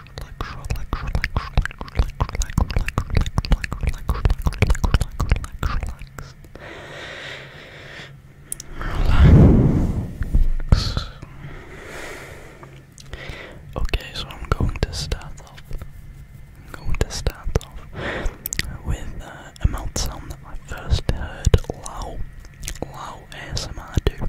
Okay, so I'm going to start off. going to start off with uh, a mouth sound that I first heard Lau, Lau ASMR do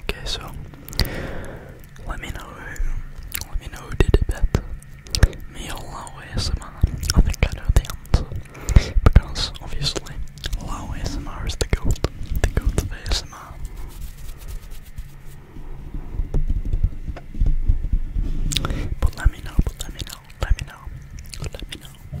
Okay, so let me know let me know who did it better. Me or Lao ASMR? I think I know the answer. Because obviously Lao ASMR is the goat. The goat of ASMR. But let me know, but let me know, let me know, let me know.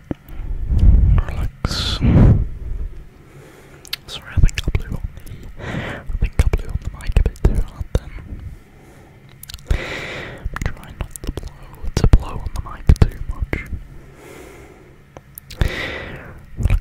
relax. Sorry, I think I blew on the, I think I blew on the mic a bit too hard then. I'm trying not to blow, to blow on the mic too much. Relax,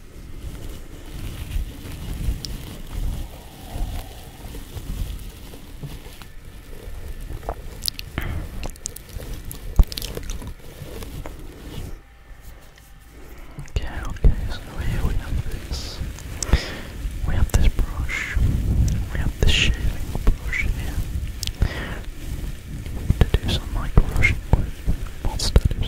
Okay, okay, so here we have this. We have this brush. We have this shaving brush here. To do some micro with. Wants to do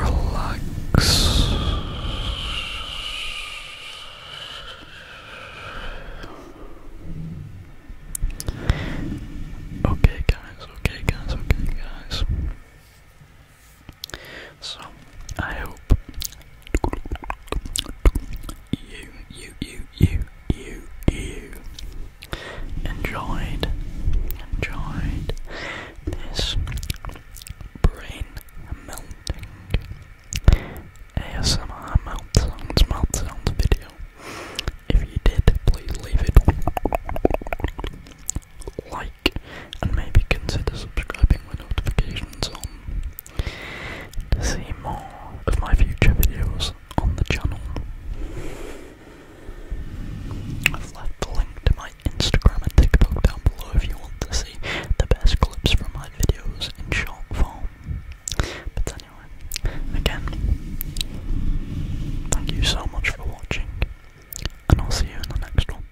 Relax. Okay, guys, okay, guys, okay, guys. So, I hope you, you, you, you, you, you enjoyed, enjoyed this brain melting ASMR melt sounds, melt sounds video. If you did, please leave it. Like and maybe consider subscribing with notifications on to see more of my future videos on the channel. I've left the link to my Instagram and TikTok down below if you want to see the best clips from my videos in short form. But anyway, again, thank you so much for watching, and I'll see you in the next one.